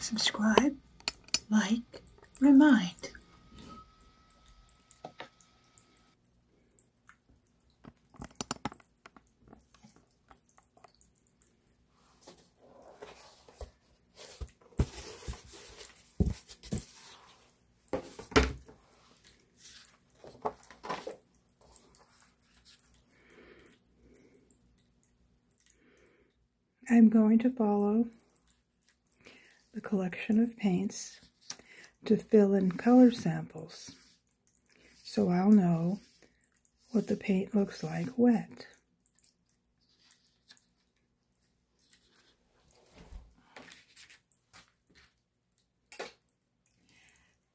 Subscribe, like, remind. I'm going to follow the collection of paints to fill in color samples so I'll know what the paint looks like wet.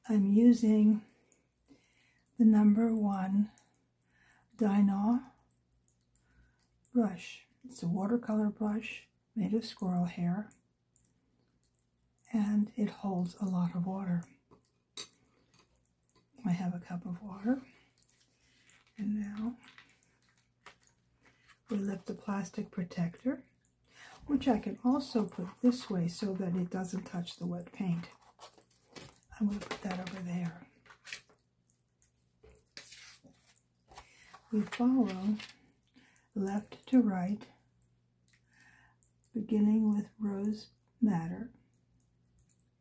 I'm using the number one Dynol brush. It's a watercolor brush made of squirrel hair and it holds a lot of water. I have a cup of water and now we lift the plastic protector which I can also put this way so that it doesn't touch the wet paint. I'm going to put that over there. We follow left to right, beginning with rose madder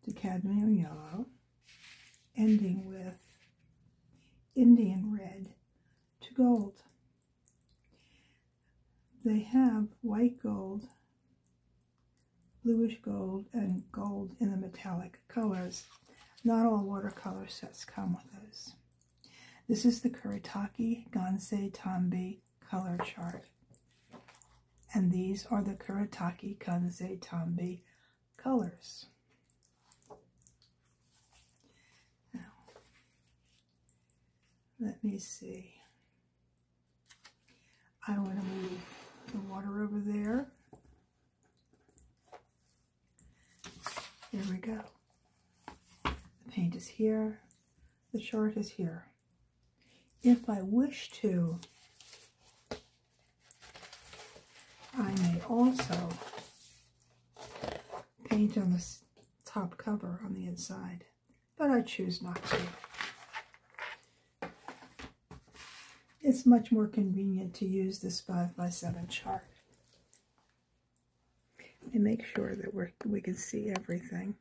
to cadmium yellow, ending with Indian red to gold. They have white gold, bluish gold, and gold in the metallic colors. Not all watercolor sets come with those. This is the Kuretake Gansei Tambi color chart. And these are the Kuretake Kansei Tambi colors. Let me see. I want to move the water over there. There we go. The paint is here. The chart is here. If I wish to, I may also paint on this top cover on the inside, but I choose not to. It's much more convenient to use this 5x7 chart. And make sure that we we can see everything.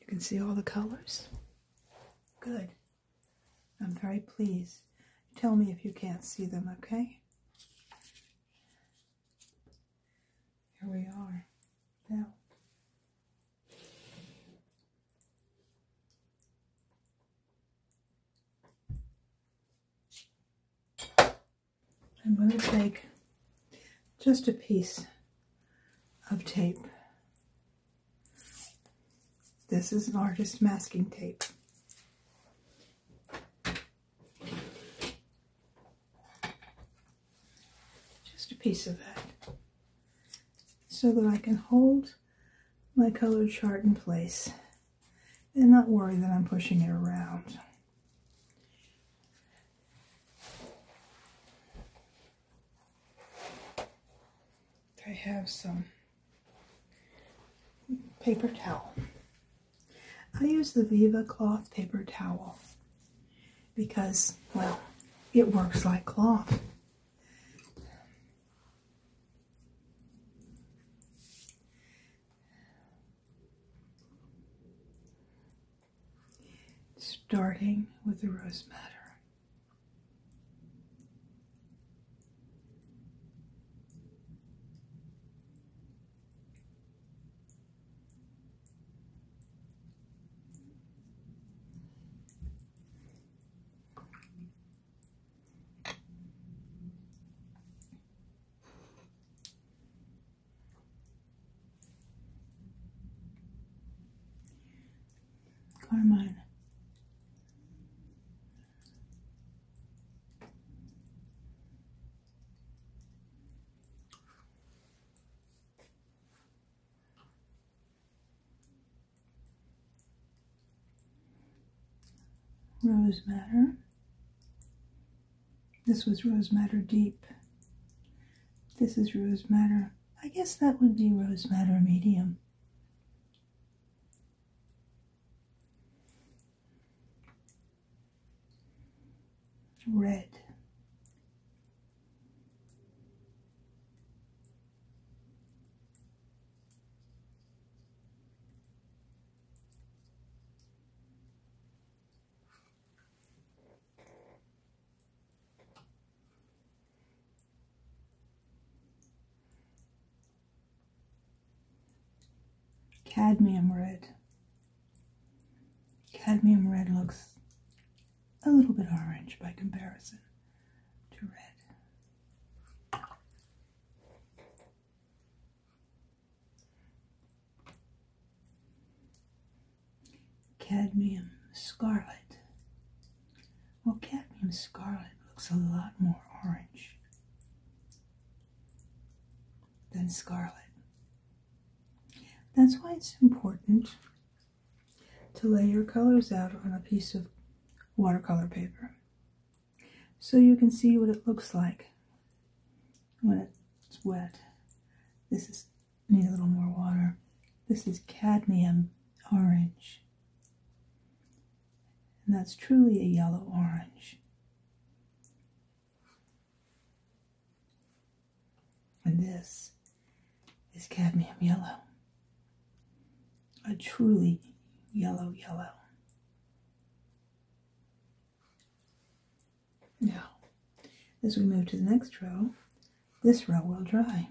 You can see all the colors? Good. I'm very pleased. Tell me if you can't see them, okay? Here we are. Now. I'm going to take just a piece of tape. This is an artist masking tape. Just a piece of that so that I can hold my colored chart in place and not worry that I'm pushing it around. I have some paper towel. I use the Viva cloth paper towel because, well, it works like cloth starting with the rose matter. Carmine. Rose Matter. This was Rose Matter Deep. This is rose matter. I guess that would be rose matter medium. Red cadmium red. Cadmium red looks a little bit orange by comparison to red cadmium scarlet. Well, cadmium scarlet looks a lot more orange than scarlet. That's why it's important to lay your colors out on a piece of watercolor paper so you can see what it looks like when it's wet. This is Need a little more water. This is cadmium orange. And that's truly a yellow orange. And this is cadmium yellow. A truly yellow, yellow. Now, as we move to the next row, this row will dry.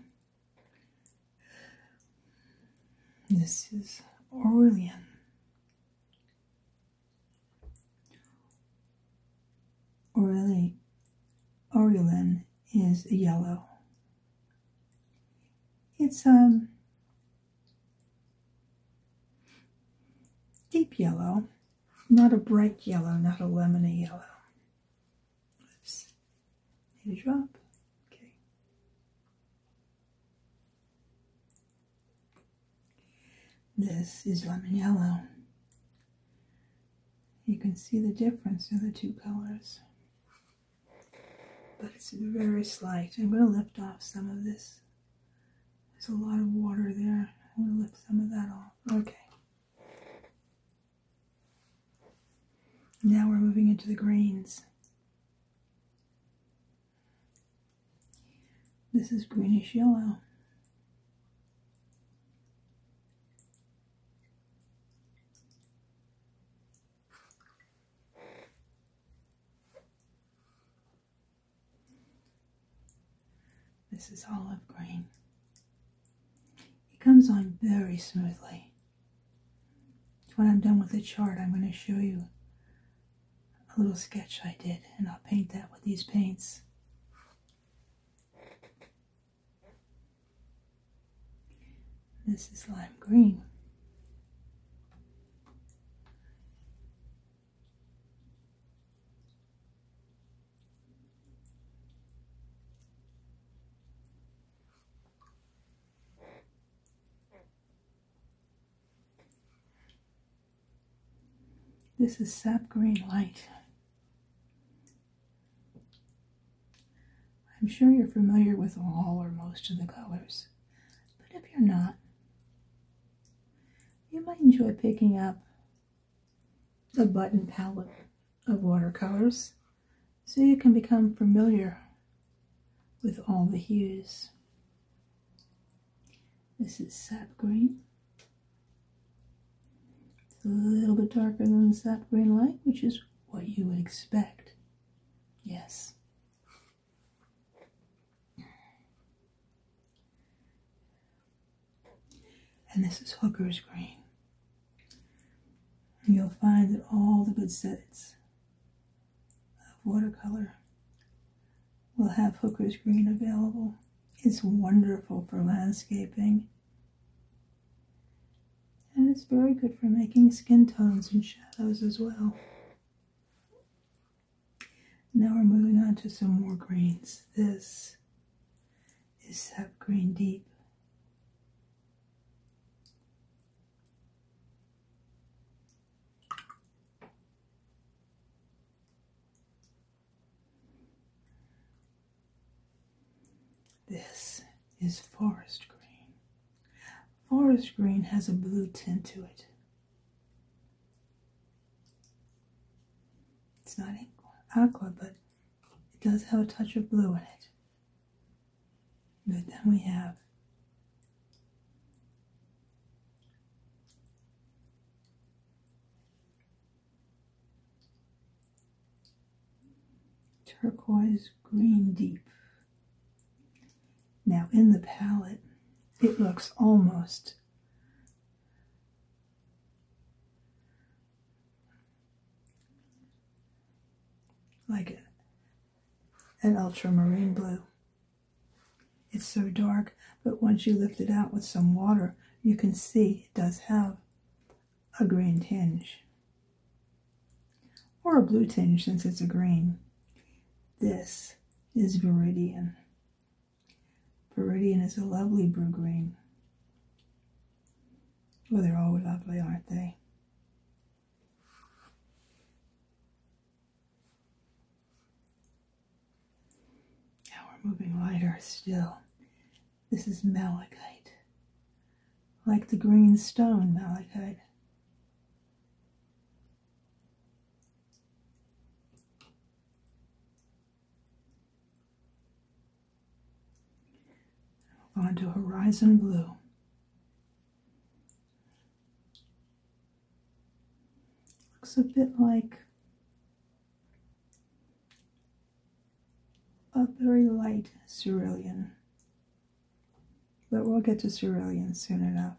This is Aurelian. Aureli, Aurelian is yellow. It's um deep yellow, not a bright yellow, not a lemony yellow. Oops. Need to drop. Okay. This is lemon yellow. You can see the difference in the two colors. But it's very slight. I'm going to lift off some of this. There's a lot of water there. I'm going to lift some of that off. Okay. Now we're moving into the greens. This is greenish yellow. This is olive green. It comes on very smoothly. When I'm done with the chart, I'm going to show you a little sketch I did, and I'll paint that with these paints. This is lime green. This is sap green light. I'm sure you're familiar with all or most of the colors, but if you're not, you might enjoy picking up the button palette of watercolors so you can become familiar with all the hues. This is sap green. It's a little bit darker than sap green light, which is what you would expect. Yes. And this is Hooker's Green. you'll find that all the good sets of watercolor will have Hooker's Green available. It's wonderful for landscaping. And it's very good for making skin tones and shadows as well. Now we're moving on to some more greens. This is that green deep. This is forest green. Forest green has a blue tint to it. It's not aqua, but it does have a touch of blue in it. But then we have turquoise green deep. Now in the palette, it looks almost like an ultramarine blue. It's so dark, but once you lift it out with some water, you can see it does have a green tinge. Or a blue tinge since it's a green. This is Viridian. Viridian is a lovely blue green. Well, they're all lovely, aren't they? Now we're moving lighter still. This is malachite, like the green stone malachite. We'll go into Horizon Blue. Looks a bit like a very light cerulean, but we'll get to cerulean soon enough.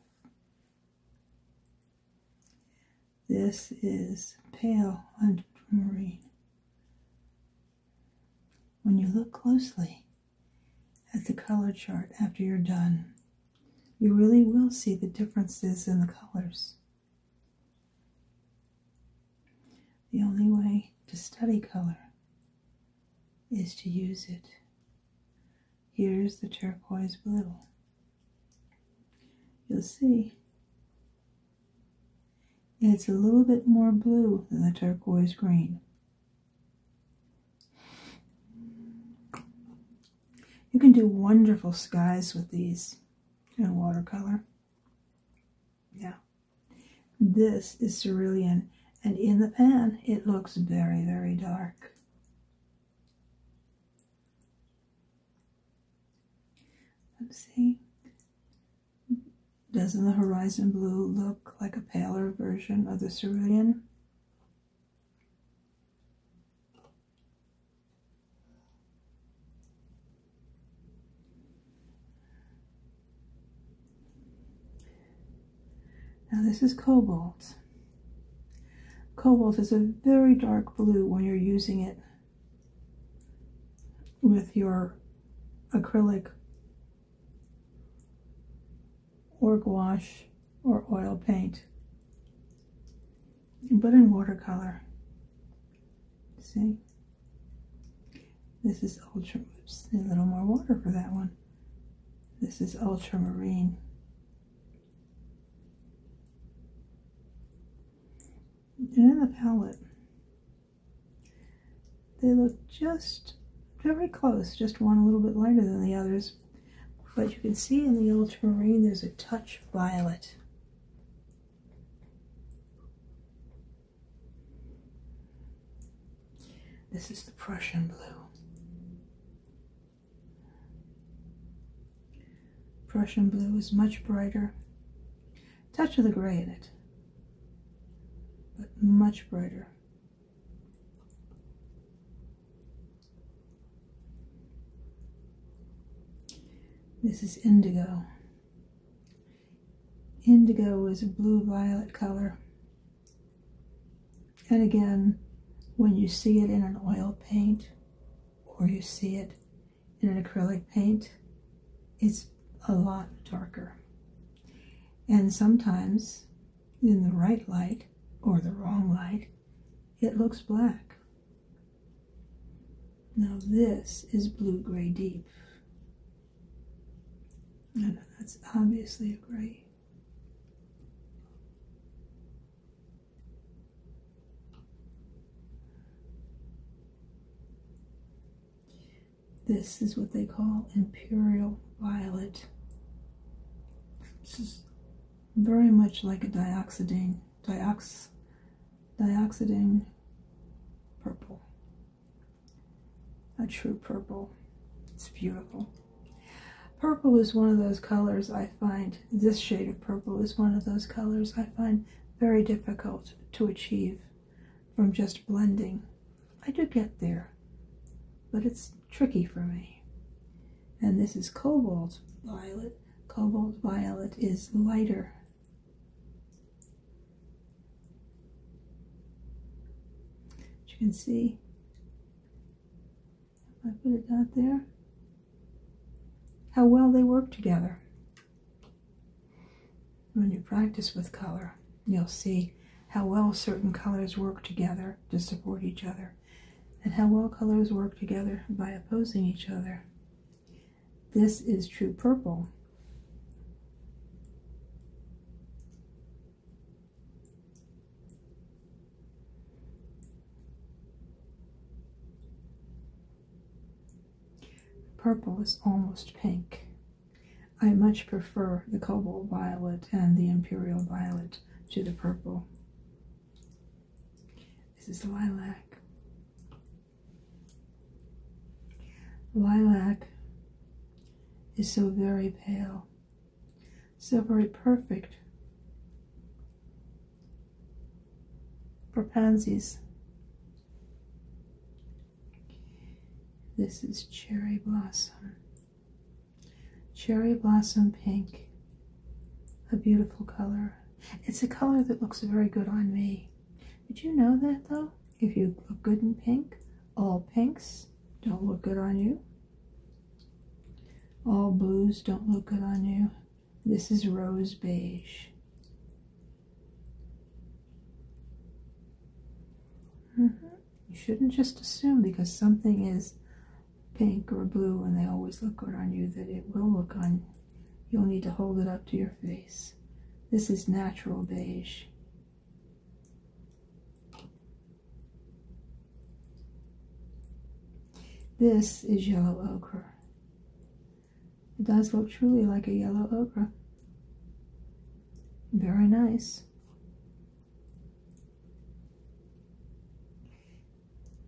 This is pale ultramarine. When you look closely at the color chart after you're done, you really will see the differences in the colors. The only way to study color is to use it. Here's the turquoise blue. You'll see it's a little bit more blue than the turquoise green. You can do wonderful skies with these in watercolor. Yeah. This is cerulean, and in the pan, it looks very, very dark. Let's see. Doesn't the horizon blue look like a paler version of the cerulean? Now this is cobalt. Cobalt is a very dark blue when you're using it with your acrylic or gouache or oil paint, but in watercolor. See? This is ultra, a little more water for that one. This is ultramarine. in the palette, they look just very close, just one a little bit lighter than the others. But you can see in the ultramarine there's a touch violet. This is the Prussian blue. Prussian blue is much brighter touch of the gray in it, but much brighter. This is indigo. Indigo is a blue-violet color. And again, when you see it in an oil paint, or you see it in an acrylic paint, it's a lot darker. And sometimes in the right light or the wrong light, it looks black. Now this is blue-gray deep. And that's obviously a gray. This is what they call imperial violet. This is very much like a dioxidine, diox, dioxidine purple. A true purple. It's beautiful. Purple is one of those colors I find, this shade of purple is one of those colors I find very difficult to achieve from just blending. I do get there, but it's tricky for me. And this is cobalt violet. Cobalt violet is lighter. As you can see, if I put it out there, how well they work together. When you practice with color, you'll see how well certain colors work together to support each other, and how well colors work together by opposing each other. This is true purple. Purple is almost pink. I much prefer the cobalt violet and the imperial violet to the purple. This is lilac. Lilac is so very pale, so very perfect for pansies. This is Cherry Blossom. Cherry Blossom Pink. A beautiful color. It's a color that looks very good on me. Did you know that though? If you look good in pink, all pinks don't look good on you. All blues don't look good on you. This is rose beige. Mm-hmm. You shouldn't just assume because something is pink or blue and they always look good on you that it will look on. You'll need to hold it up to your face. This is natural beige. This is yellow ochre. It does look truly like a yellow ochre. Very nice.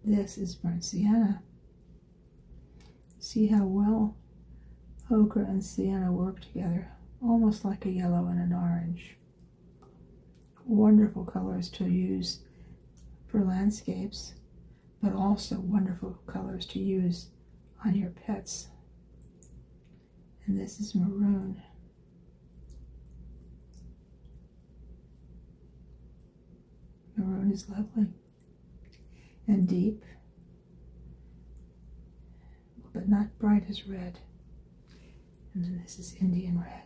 This is burnt sienna. See how well ochre and sienna work together, almost like a yellow and an orange. Wonderful colors to use for landscapes, but also wonderful colors to use on your pets. And this is maroon. Maroon is lovely and deep, but not bright as red. And then this is Indian red.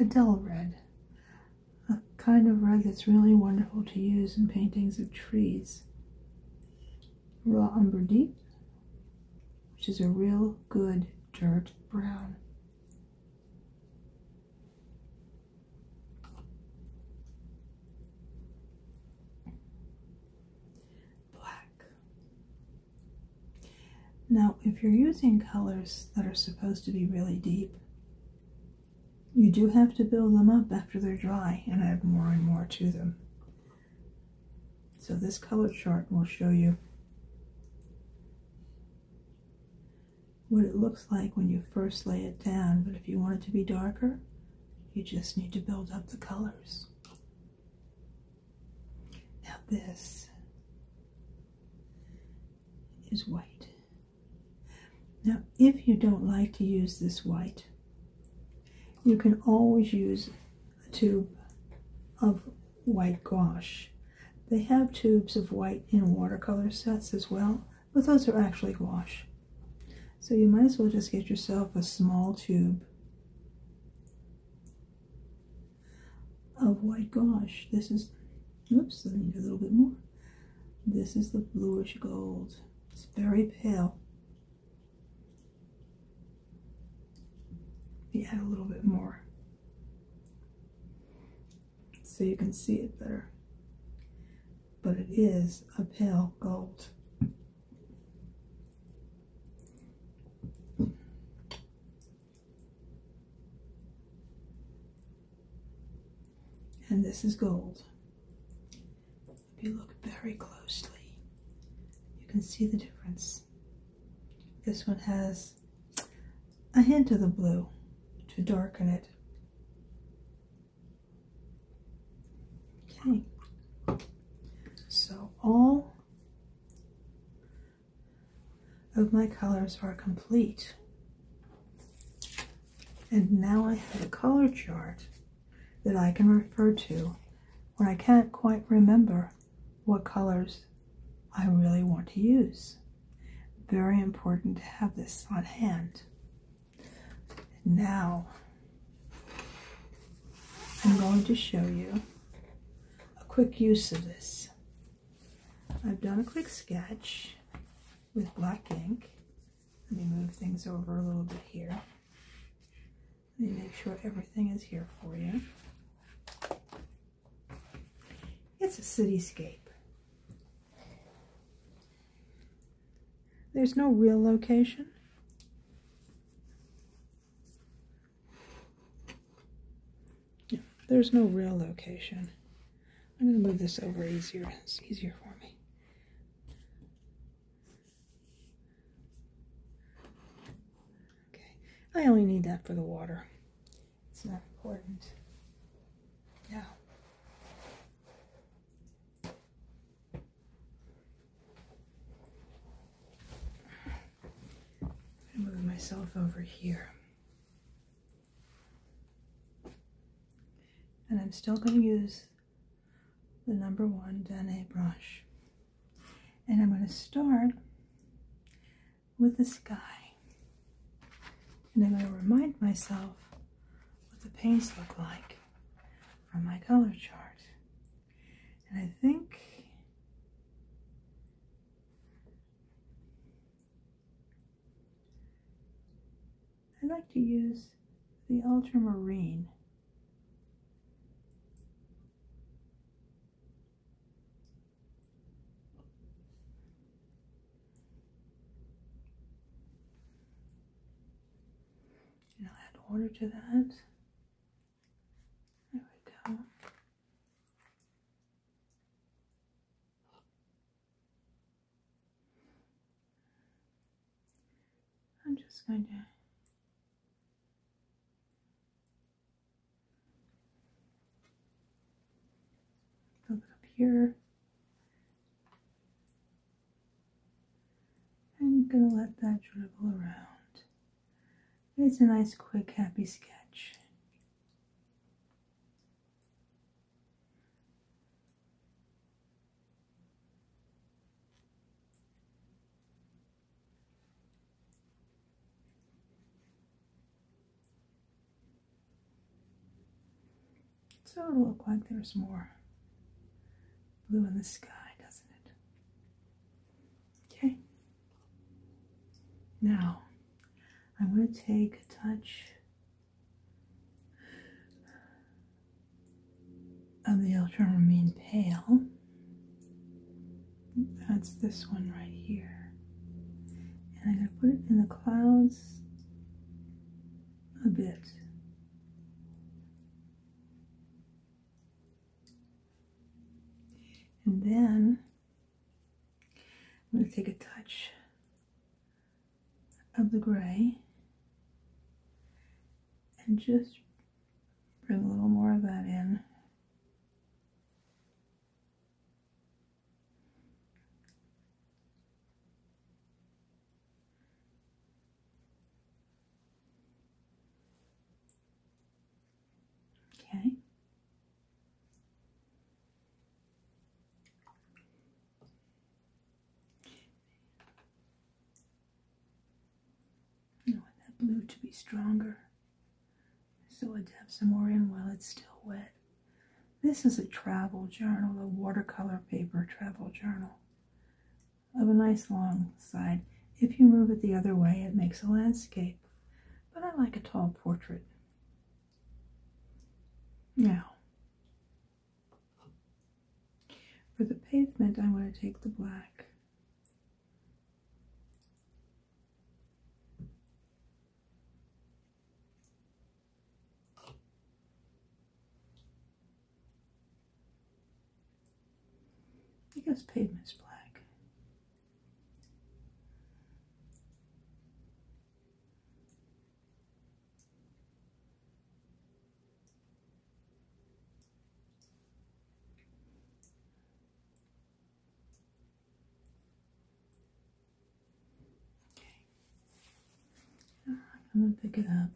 A dull red, a kind of red that's really wonderful to use in paintings of trees. Raw umber deep, which is a real good dirt brown. Black, now, if you're using colors that are supposed to be really deep, you do have to build them up after they're dry and add more and more to them. So this color chart will show you what it looks like when you first lay it down, but if you want it to be darker, you just need to build up the colors. Now, this is white. Now, if you don't like to use this white, you can always use a tube of white gouache. They have tubes of white in watercolor sets as well, but those are actually gouache. So you might as well just get yourself a small tube of oh white gosh, This is, oops, I need a little bit more. This is the bluish gold. It's very pale. Yeah, a little bit more so you can see it better. But it is a pale gold. And this is gold. If you look very closely, you can see the difference. This one has a hint of the blue to darken it. Okay, so all of my colors are complete. And now I have a color chart that I can refer to when I can't quite remember what colors I really want to use. Very important to have this on hand. Now, I'm going to show you a quick use of this. I've done a quick sketch with black ink. Let me move things over a little bit here. Let me make sure everything is here for you. It's a cityscape. There's no real location there's no real location. I'm going to move this over easier. It's easier for me. Okay, I only need that for the water. It's not important. Move myself over here. And I'm still going to use the number one Danae brush. And I'm going to start with the sky. And I'm going to remind myself what the paints look like from my color chart. And I think I like to use the ultramarine I'll add order to that. There we go. I'm just going to fill it up here. I'm going to let that dribble around. It's a nice, quick, happy sketch. It it'll look like there's more blue in the sky, doesn't it? Okay. Now, I'm going to take a touch of the ultramarine pale. That's this one right here. And I'm going to put it in the clouds a bit. And then I'm going to take a touch of the gray and just bring a little more of that in. Okay. I want that blue to be stronger so i will have some more in while it's still wet. This is a travel journal, a watercolor paper travel journal of a nice long side. If you move it the other way, it makes a landscape, but I like a tall portrait. Now, for the pavement, I want to take the black. I pavement's black. All right, I'm going to pick it up.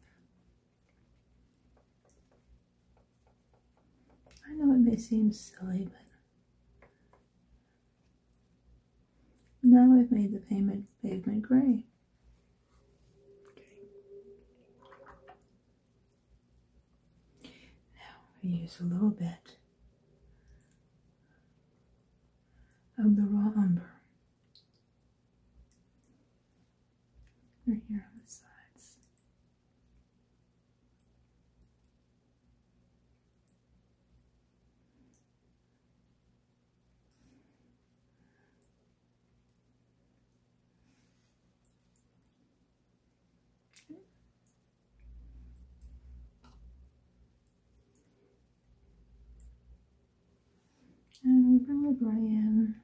I know it may seem silly, but now i have made the pavement, pavement gray. Now we use a little bit of the raw umber. Right here on the sides. And we bring the gray in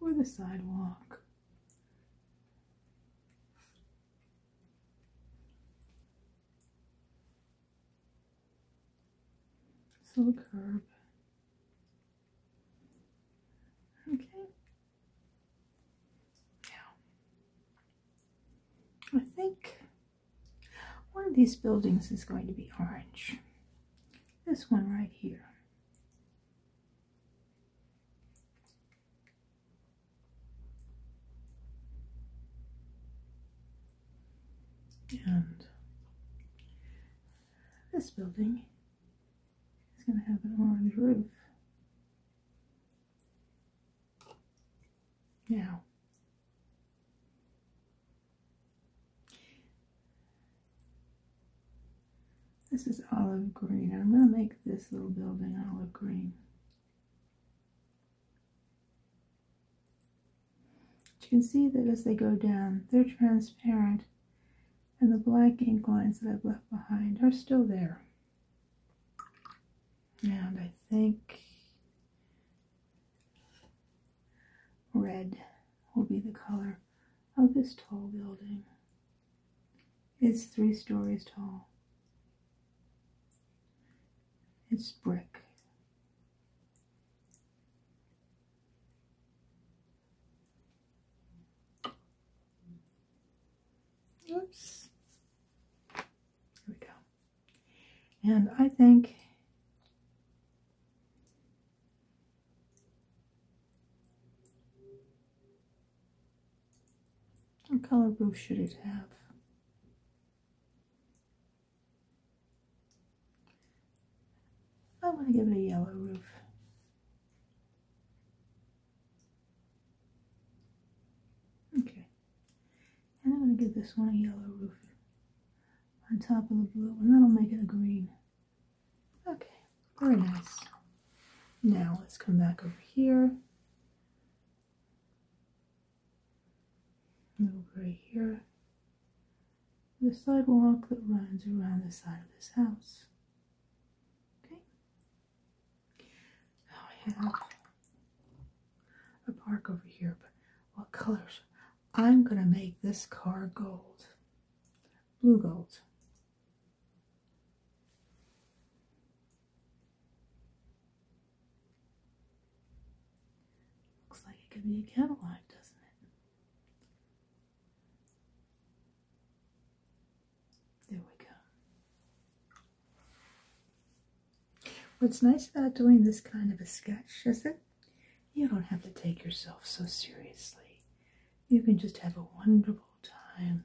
or the sidewalk so curb. Okay. Now, I think one of these buildings is going to be orange. This one right here. And this building is going to have an orange roof. Now, this is olive green. I'm going to make this little building olive green. You can see that as they go down, they're transparent, and the black ink lines that I've left behind are still there. And I think red will be the color of this tall building. It's three stories tall. It's brick. Oops. There we go. And I think what color roof should it have? I am going to give it a yellow roof. Okay. And I'm going to give this one a yellow roof on top of the blue, and that'll make it a green. Okay, very nice. Now let's come back over here and over here, the sidewalk that runs around the side of this house. Okay. I have a park over here, but what colors? I'm going to make this car gold. Blue gold. Looks like it could be a Cadillac, doesn't it? There we go. What's nice about doing this kind of a sketch is it? you don't have to take yourself so seriously. You can just have a wonderful time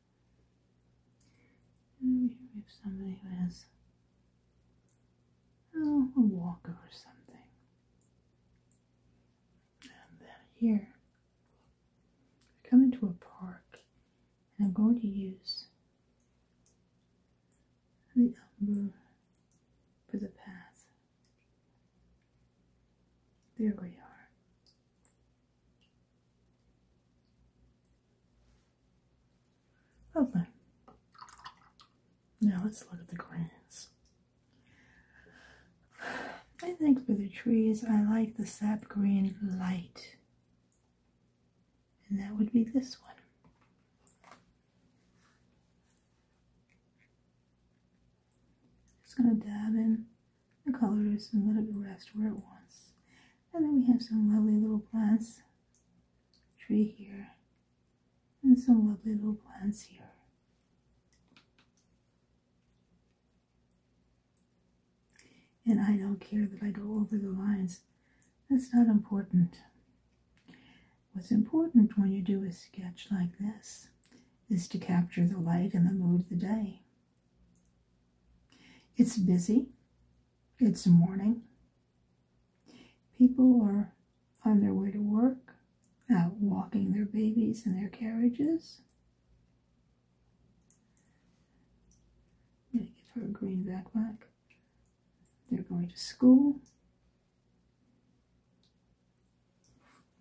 we have somebody who has oh, a walker or something. And then here, we come into a park and I'm going to use the umber for the path. There we are. Okay. Oh, now let's look at the greens. I think for the trees, I like the sap green light. And that would be this one. Just gonna dab in the colors and let it rest where it wants. And then we have some lovely little plants. Tree here. And some lovely little plants here. And I don't care that I go over the lines. That's not important. What's important when you do a sketch like this is to capture the light and the mood of the day. It's busy. It's morning. People are on their way to work, walking their babies in their carriages. I'm her green backpack. They're going to school.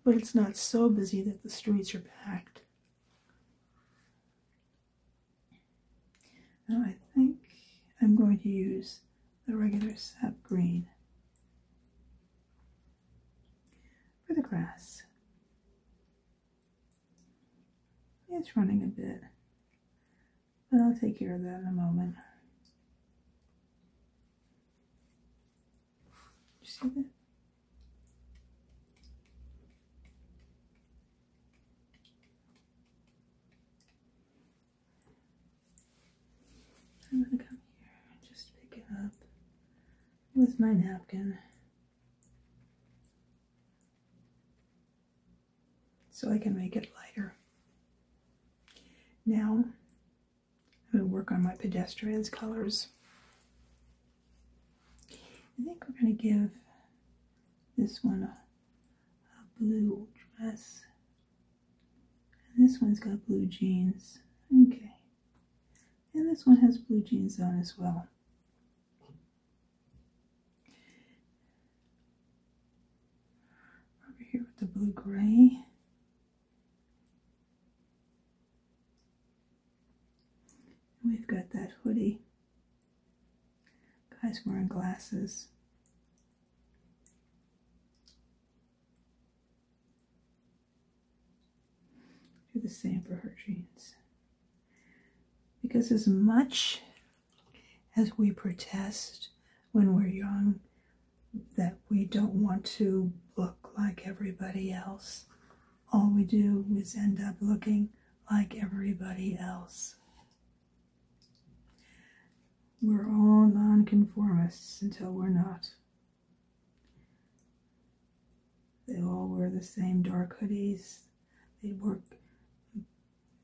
But it's not so busy that the streets are packed. Now oh, I think I'm going to use the regular sap green for the grass. It's running a bit, but I'll take care of that in a moment. You see that? I'm gonna come here and just pick it up with my napkin. So I can make it lighter. Now, I'm going to work on my pedestrians colors. I think we're going to give this one a, blue dress. And this one's got blue jeans. Okay. And this one has blue jeans on as well. Over here with the blue gray. We've got that hoodie Guy's wearing glasses. Do the same for her jeans. Because as much as we protest when we're young that we don't want to look like everybody else, all we do is end up looking like everybody else. We're all nonconformists until we're not. They all wear the same dark hoodies. They work,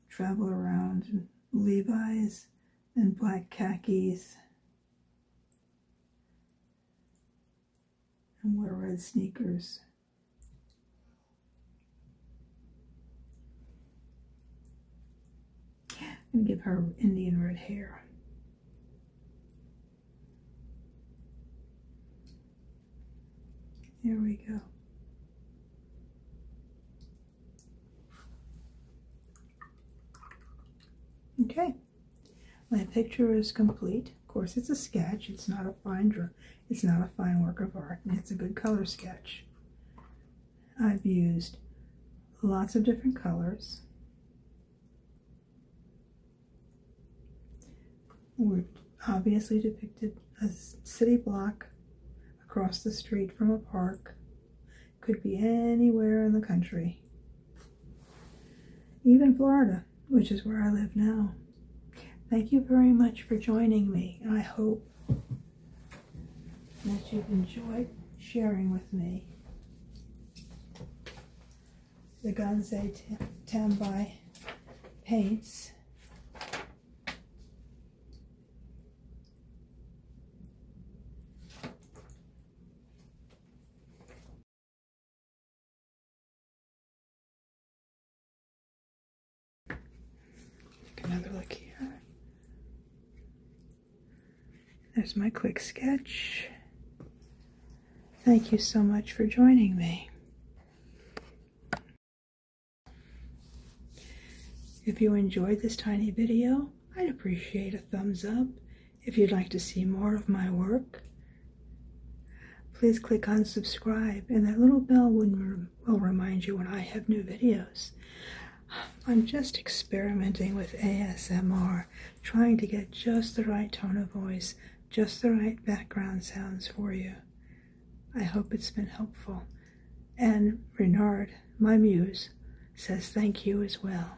travel around in Levi's and black khakis and wear red sneakers. I'm gonna give her Indian red hair. There we go. Okay, my picture is complete. Of course, it's a sketch. It's not a fine drawing. It's not a fine work of art, it's a good color sketch. I've used lots of different colors. We've obviously depicted a city block across the street from a park. Could be anywhere in the country. Even Florida, which is where I live now. Thank you very much for joining me. I hope that you've enjoyed sharing with me the Ganze Tambai paints another look here. There's my quick sketch. Thank you so much for joining me. If you enjoyed this tiny video, I'd appreciate a thumbs up. If you'd like to see more of my work, please click on subscribe in that little bell will um, will remind you when I have new videos. I'm just experimenting with ASMR, trying to get just the right tone of voice, just the right background sounds for you. I hope it's been helpful. And Renard, my muse, says thank you as well.